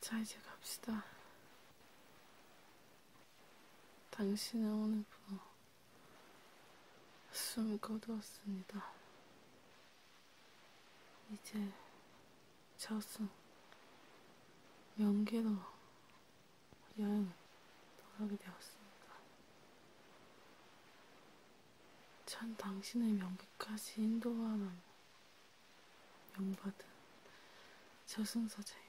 자, 이제 갑시다. 당신은 오늘부터 숨을 거두었습니다. 이제 저승 명계로 여행을 떠나게 되었습니다. 찬 당신의 명백까지 인도하라는 명받은 저승사자입니다.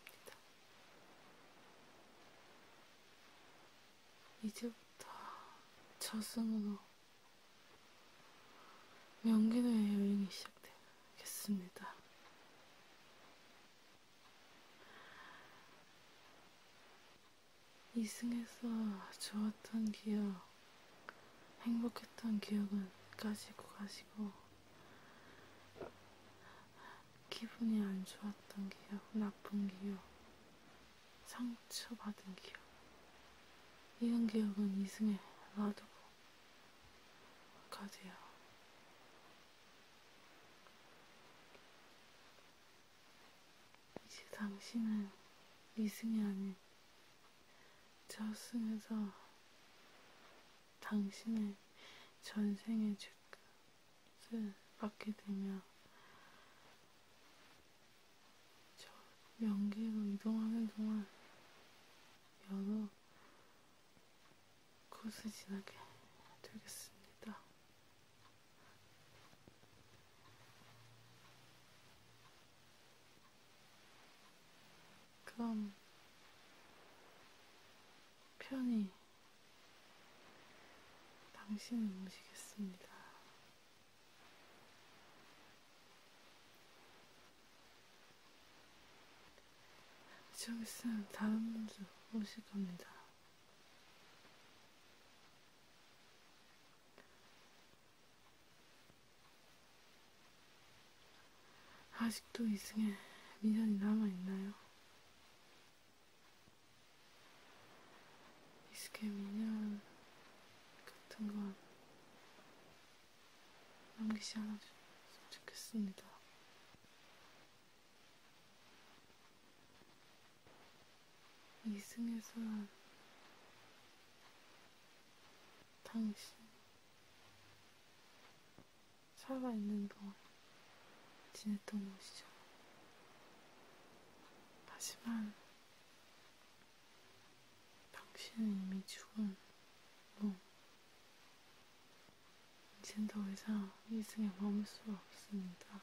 이제부터 저승으로 명기도의 여행이 시작되겠습니다. 이승에서 좋았던 기억, 행복했던 기억은 가지고 가시고, 기분이 안 좋았던 기억, 나쁜 기억, 상처받은 기억, 이런 기억은 이승에 놔두고 가세요. 이제 당신은 이승이 아닌 저승에서 당신의 전생의 죄값을 받게 되며 저 명계로 이동하는 동안 여러 곳을 지나게 되겠습니다. 그럼 편히 당신을 모시겠습니다. 좀 있으면 다른 분도 오실 겁니다. 아직도 이승에 미련이 남아있나요? 이승의 미련 같은 건 남기지 않아주셨으면 좋겠습니다. 이승에서 당신 살아있는 동안 지냈던 곳이죠. 하지만 당신은 이미 죽은 몸. 이젠 더 이상 이승에 머물 수가 없습니다.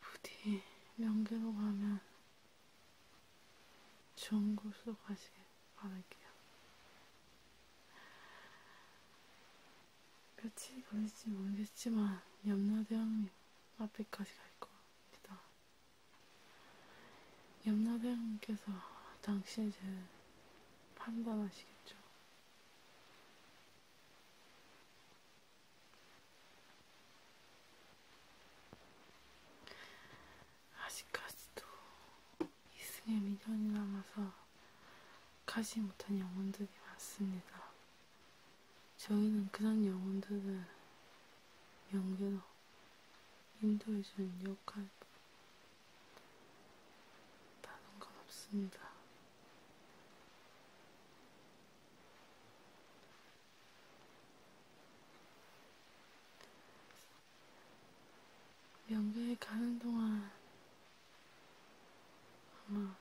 부디 명계로 가면 좋은 곳으로 가시길 바랄게요. 며칠 걸릴지 모르겠지만 염라대왕님 앞에까지 갈 겁니다. 염라대왕님께서 당신을 판단하시겠죠. 아직까지도 이승에 미련이 남아서 가지 못한 영혼들이 많습니다. 저희는 그런 영혼들을 명대로 인도해주는 역할 다른 건 없습니다. 연극에 가는 동안 아마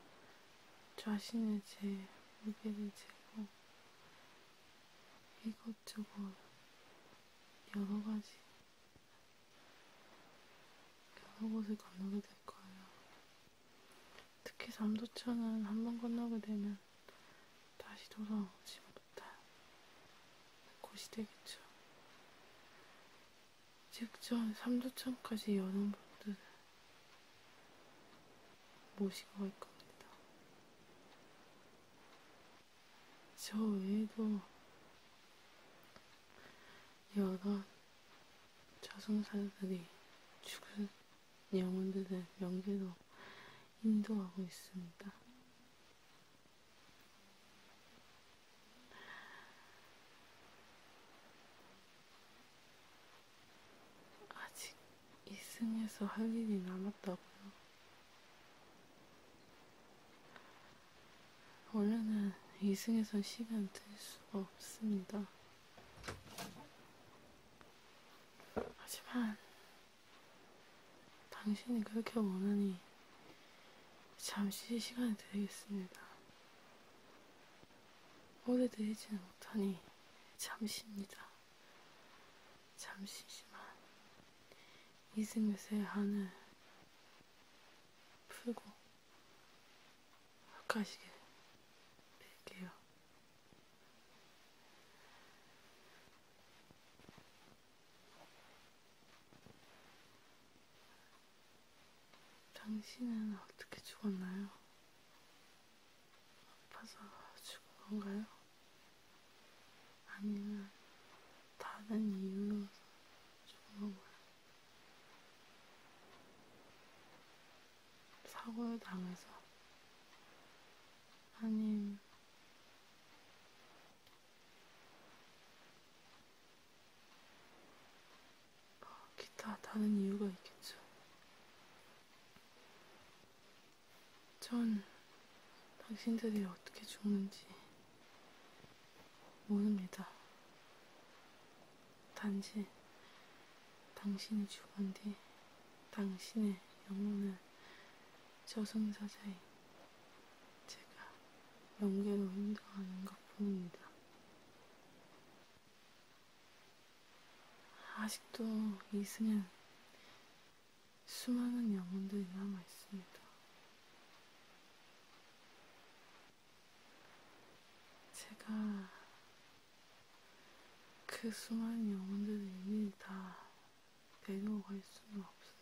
자신의 제 무게를 재고 이것저것 여러 가지 여러곳을 건너게 될 거예요. 특히 삼도천은 한 번 건너게 되면 다시 돌아오지 못할 곳이 되겠죠. 직전 삼도천까지 여는 분들을 모시고 갈 겁니다. 저 외에도 여러 저승사자들이 죽은 영혼들을 명제로 인도하고 있습니다. 아직 이승에서 할 일이 남았다고요. 원래는 2승에선 시간 들 수가 없습니다. 하지만 당신이 그렇게 원하니 잠시 시간을 드리겠습니다. 오래 드리지는 못하니 잠시입니다. 잠시지만 이승에서의 한을 풀고 가시게 뺄게요. 당신은 어떻게 죽었나요? 아파서 죽은 건가요? 아니면 다른 이유로 죽은 건가요? 사고를 당해서 아님 뭐, 기타 다른 이유가 있겠죠. 전 당신들이 어떻게 죽는지 모릅니다. 단지 당신이 죽은 뒤 당신의 영혼을 저승사자인 제가 영계로 인도하는 것 뿐입니다. 아직도 이승엔 수많은 영혼들이 남아있습니다. 제가 그 수많은 영혼들을 이미 다 내려갈 수는 없어요.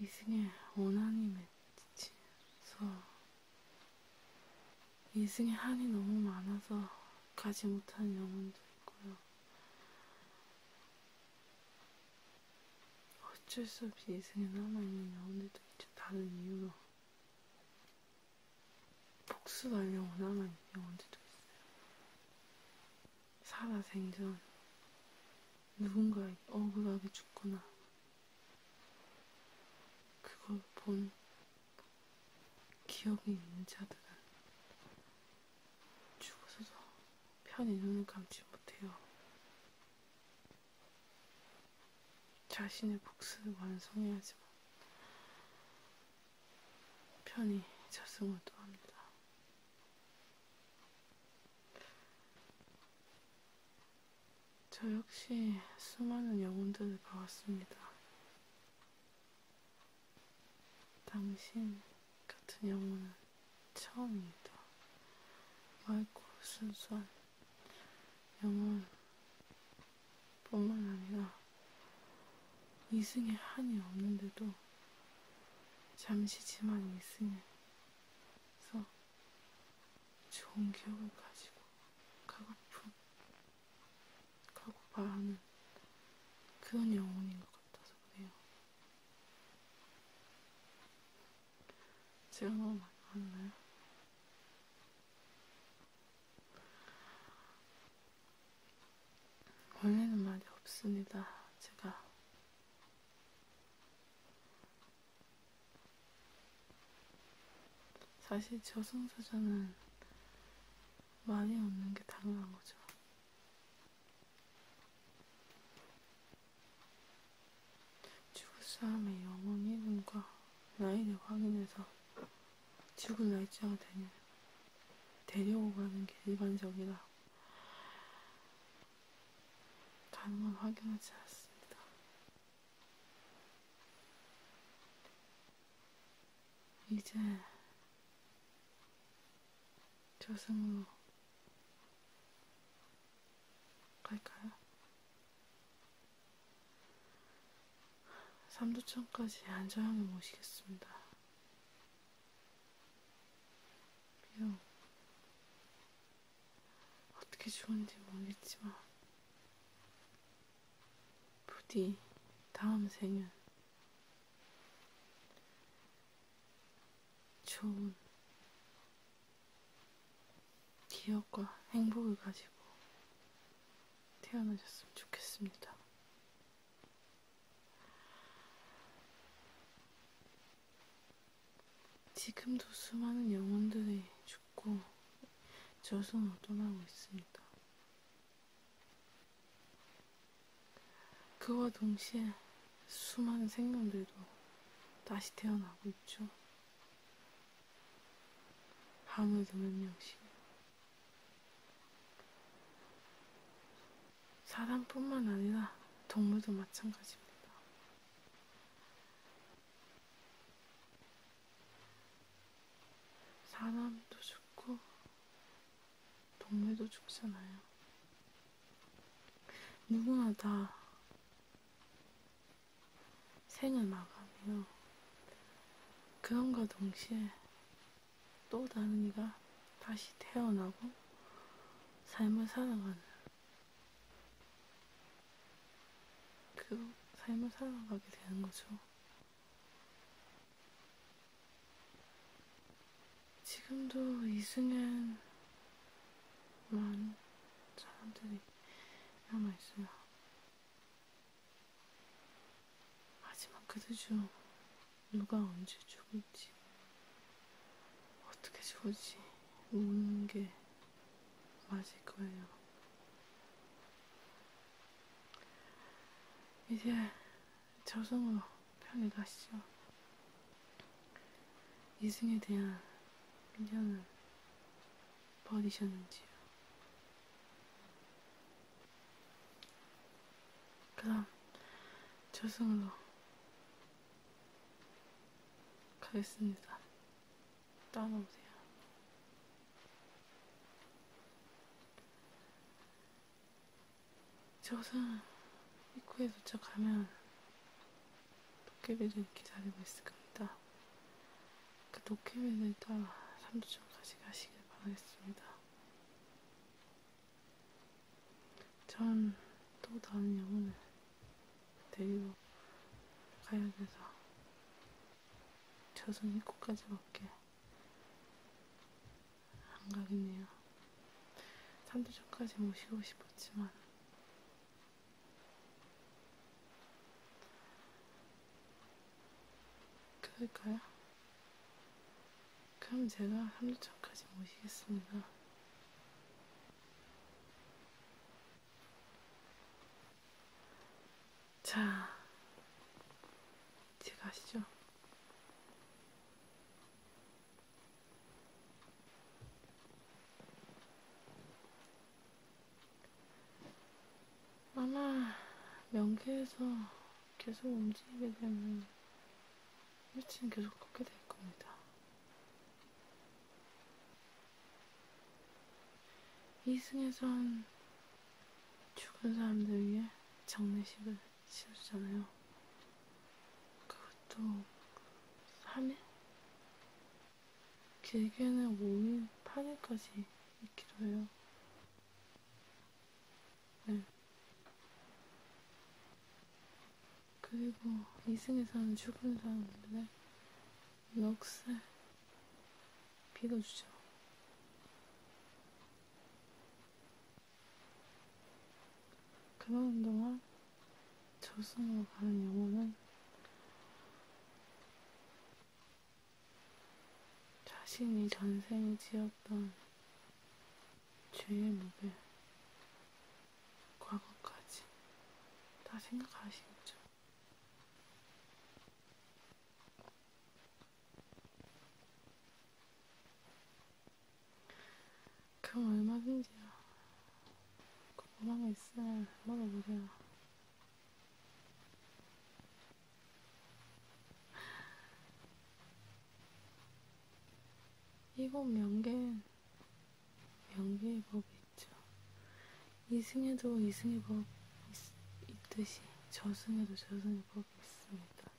이승의 원한이 맺히면서 이승의 한이 너무 많아서 가지 못한 영혼도 있고요. 어쩔 수 없이 인생에 남아있느냐, 오늘도 이제 다른 이유로. 복수하려고 남아있는 영혼들도 있어요. 살아생전, 누군가에 억울하게 죽거나, 그걸 본 기억이 있는 자들은 죽어서도 편히 눈을 감지 못해요. 자신의 복수를 완성해야지만 편히 자승을 도합니다. 저 역시 수많은 영혼들을 봐왔습니다. 당신 같은 영혼은 처음이다. 맑고 순수한 영혼뿐만 아니라 이승에 한이 없는데도 잠시지만 이승에서 좋은 기억을 가지고 가고픈 가고 바라는 그런 영혼인 것 같아서 그래요. 제가 너무 많이 왔나요? 원래는 말이 없습니다. 제가 사실 저승사자는 말이 없는 게 당연한 거죠. 지구싸움의 영웅 1군과 라인을 확인해서 지구 날짜가 되는 데려고 가는 게 일반적이라 다른 건 확인하지 않았습니다. 이제 저승으로 갈까요? 삼두천까지 안전하게 모시겠습니다. 비록 어떻게 죽었는지 모르겠지만 부디 다음 생은 좋은 기억과 행복을 가지고 태어나셨으면 좋겠습니다. 지금도 수많은 영혼들이 죽고 저승으로 떠나고 있습니다. 그와 동시에 수많은 생명들도 다시 태어나고 있죠. 아무도 몇 명씩. 사람뿐만 아니라 동물도 마찬가지입니다. 사람도 죽고 동물도 죽잖아요. 누구나 다 생을 마감해요. 그런과 동시에 또 다른 이가 다시 태어나고 삶을 살아가는 그 삶을 살아가게 되는 거죠. 지금도 이승현 만 사람들이 남아있어요. 하지만 그들 중 누가 언제 죽을지, 어떻게 죽을지 모르는 게 맞을 거예요. 이제 저승으로 편히 가시죠. 이승에 대한 의견은 버리셨는지요? 그럼 저승으로 가겠습니다. 따라오세요. 저상 입구에 도착하면 도깨비를 기다리고 있을 겁니다. 그 도깨비를 따라 삼도천까지 가시길 바라겠습니다. 전 또 다른 영혼을 데리고 가야 돼서 저승 입구까지 밖에 안 가겠네요. 산도전까지 오시고 싶었지만 그럴까요? 그럼 제가 산도천까지 모시겠습니다. 자, 이제 가시죠. 아마 명계에서 계속 움직이게 되면 일치는 계속 걷게 될 겁니다. 이승에선 죽은 사람들 위해 장례식을 씌우잖아요. 그것도 3일? 길게는 5일, 8일까지 있기도 해요. 네. 그리고 이승에 사는 죽은 사람들의 넋을 빌어주죠. 그러는 동안 저승으로 가는 영혼은 자신이 전생에 지었던 죄의 무게, 과거까지 다 생각하시겠죠. 그럼 얼마든지요. 궁금한 게 있으면 물어보세요. 이곳 명계엔 명계의 법이 있죠. 이승에도 이승의 법 있, 있듯이 저승에도 저승의 법 있습니다.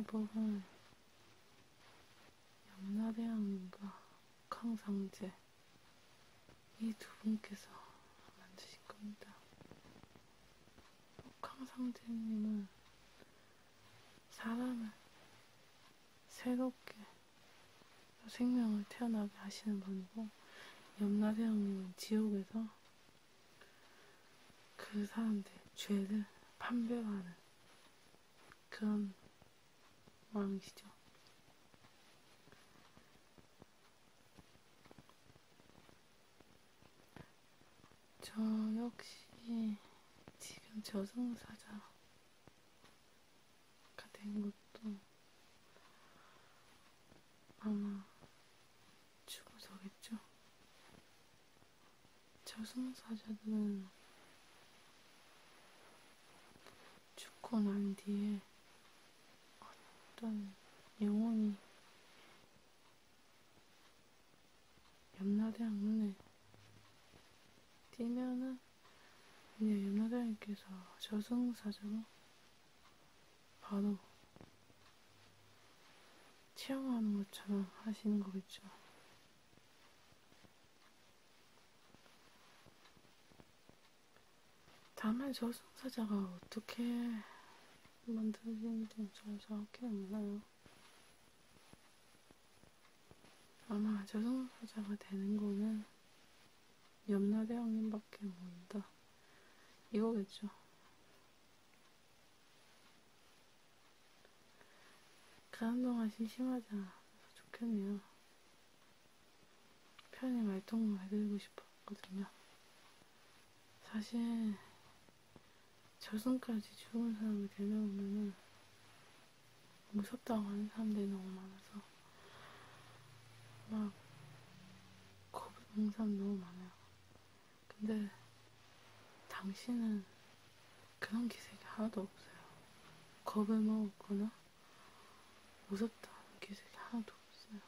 저승의 법은 염라대왕과 강상제 이 두 분께서 만드신 겁니다. 강상제님은 사람을 새롭게 생명을 태어나게 하시는 분이고 염라대왕님은 지옥에서 그 사람들 죄를 판별하는 그런 왕이시죠. 저 역시 지금 저승사자가 된 것도 아마 죽어서겠죠. 저승사자들은 죽고 난 뒤에 어떤 영혼이 염라대왕 눈에 뛰면은 이제 염라대왕께서 저승사자로 바로 취향하는 것처럼 하시는 거겠죠. 다만 저승사자가 어떻게 만들어지는지는 잘 정확히 몰라요. 아마 저승사자가 되는 거는 염라대왕님밖에 모른다. 이거겠죠. 가는 동안 심심하지 않아서 좋겠네요. 편히 말동무 해드리고 싶었거든요. 사실 저승까지 죽은 사람을 데려오면은 무섭다고 하는 사람들이 너무 많아서 막 겁이 공산 너무 많아요. 근데 당신은 그런 기색이 하나도 없어요. 겁을 먹었거나 무섭다는 기색이 하나도 없어요.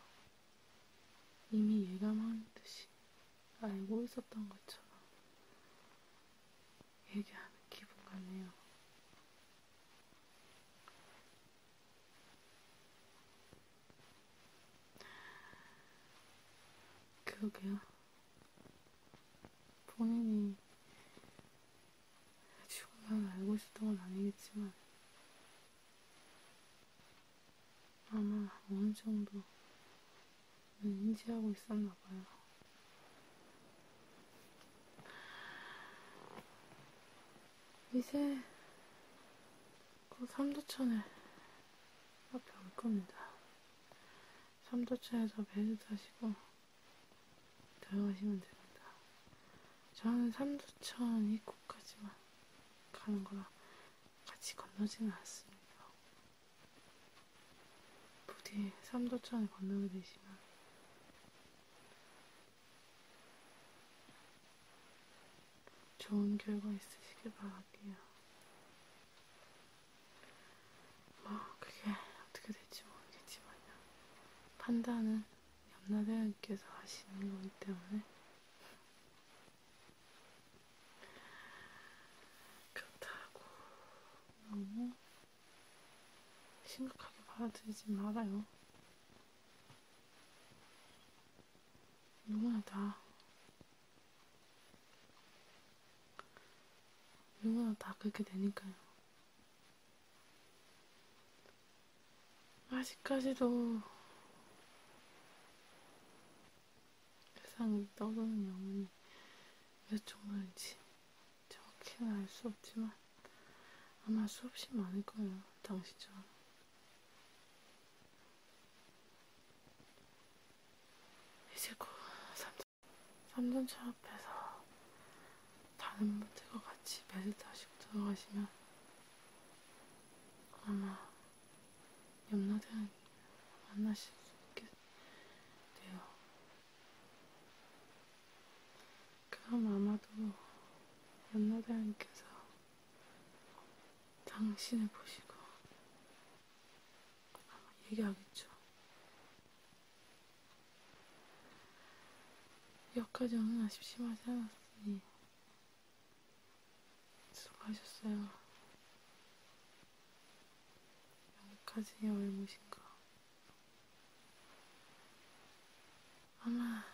이미 예감한 듯이 알고 있었던 것처럼 얘기하는 기분 같네요. 그러게요. 본인이 죽어만 알고 있었던 건 아니겠지만, 아마 어느 정도는 인지하고 있었나 봐요. 이제 그 삼도천에 앞에 올 겁니다. 삼도천에서 배를 타시고 들어가시면 됩니다. 저는 삼도천 입구까지만 가는 거라 같이 건너지는 않습니다. 부디 삼도천을 건너게 되시면 좋은 결과 있으시길 바랄게요. 뭐 그게 어떻게 될지 모르겠지만요. 판단은 염라대왕께서 하시는 거기 때문에 그렇다고 너무 심각하게 받아들이지 말아요. 누구나 누구나 다 그렇게 되니까요. 아직까지도 세상에 떠도는 영혼이 몇 종류인지 정확히는 알 수 없지만 아마 수없이 많을 거예요. 당시처럼. 이제 곧 그 삼전, 삼전차 앞에서 다른 분들과 같이 매트 하시고 들어가시면 아마 염라대왕 만나실 수 있게 돼요. 그럼 아마도 염라대왕께서 당신을 보시고 아마 얘기하겠죠. 역가정은 아직 심하지 않았으니 수고하셨어요. 여기까지의 얼무신가. 아마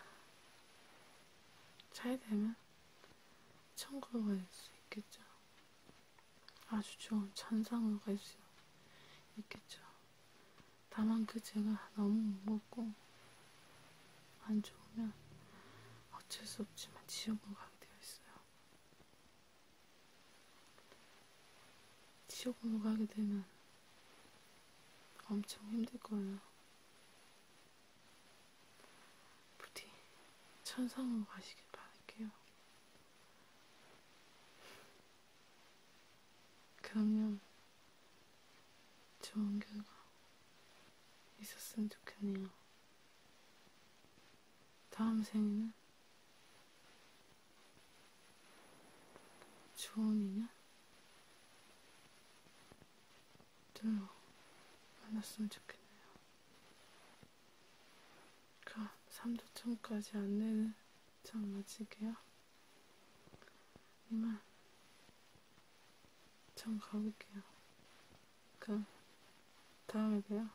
잘 되면 천국을 갈수 있겠죠. 아주 좋은 천상을 갈수 있겠죠. 다만 그 제가 너무 무겁고 안 좋으면 어쩔 수 없지만 지옥을 가게 되어 있어요. 지옥으로 가게 되면 엄청 힘들 거예요. 부디 천상으로 가시길 바랄게요. 그러면 좋은 결과 있었으면 좋겠네요. 다음 생에는 좋은 인연? 좀 만났으면 좋겠네요. 그러니까 3도천까지 안내는 참 마칠게요. 이만 전 가볼게요. 그럼 다음에 봬요.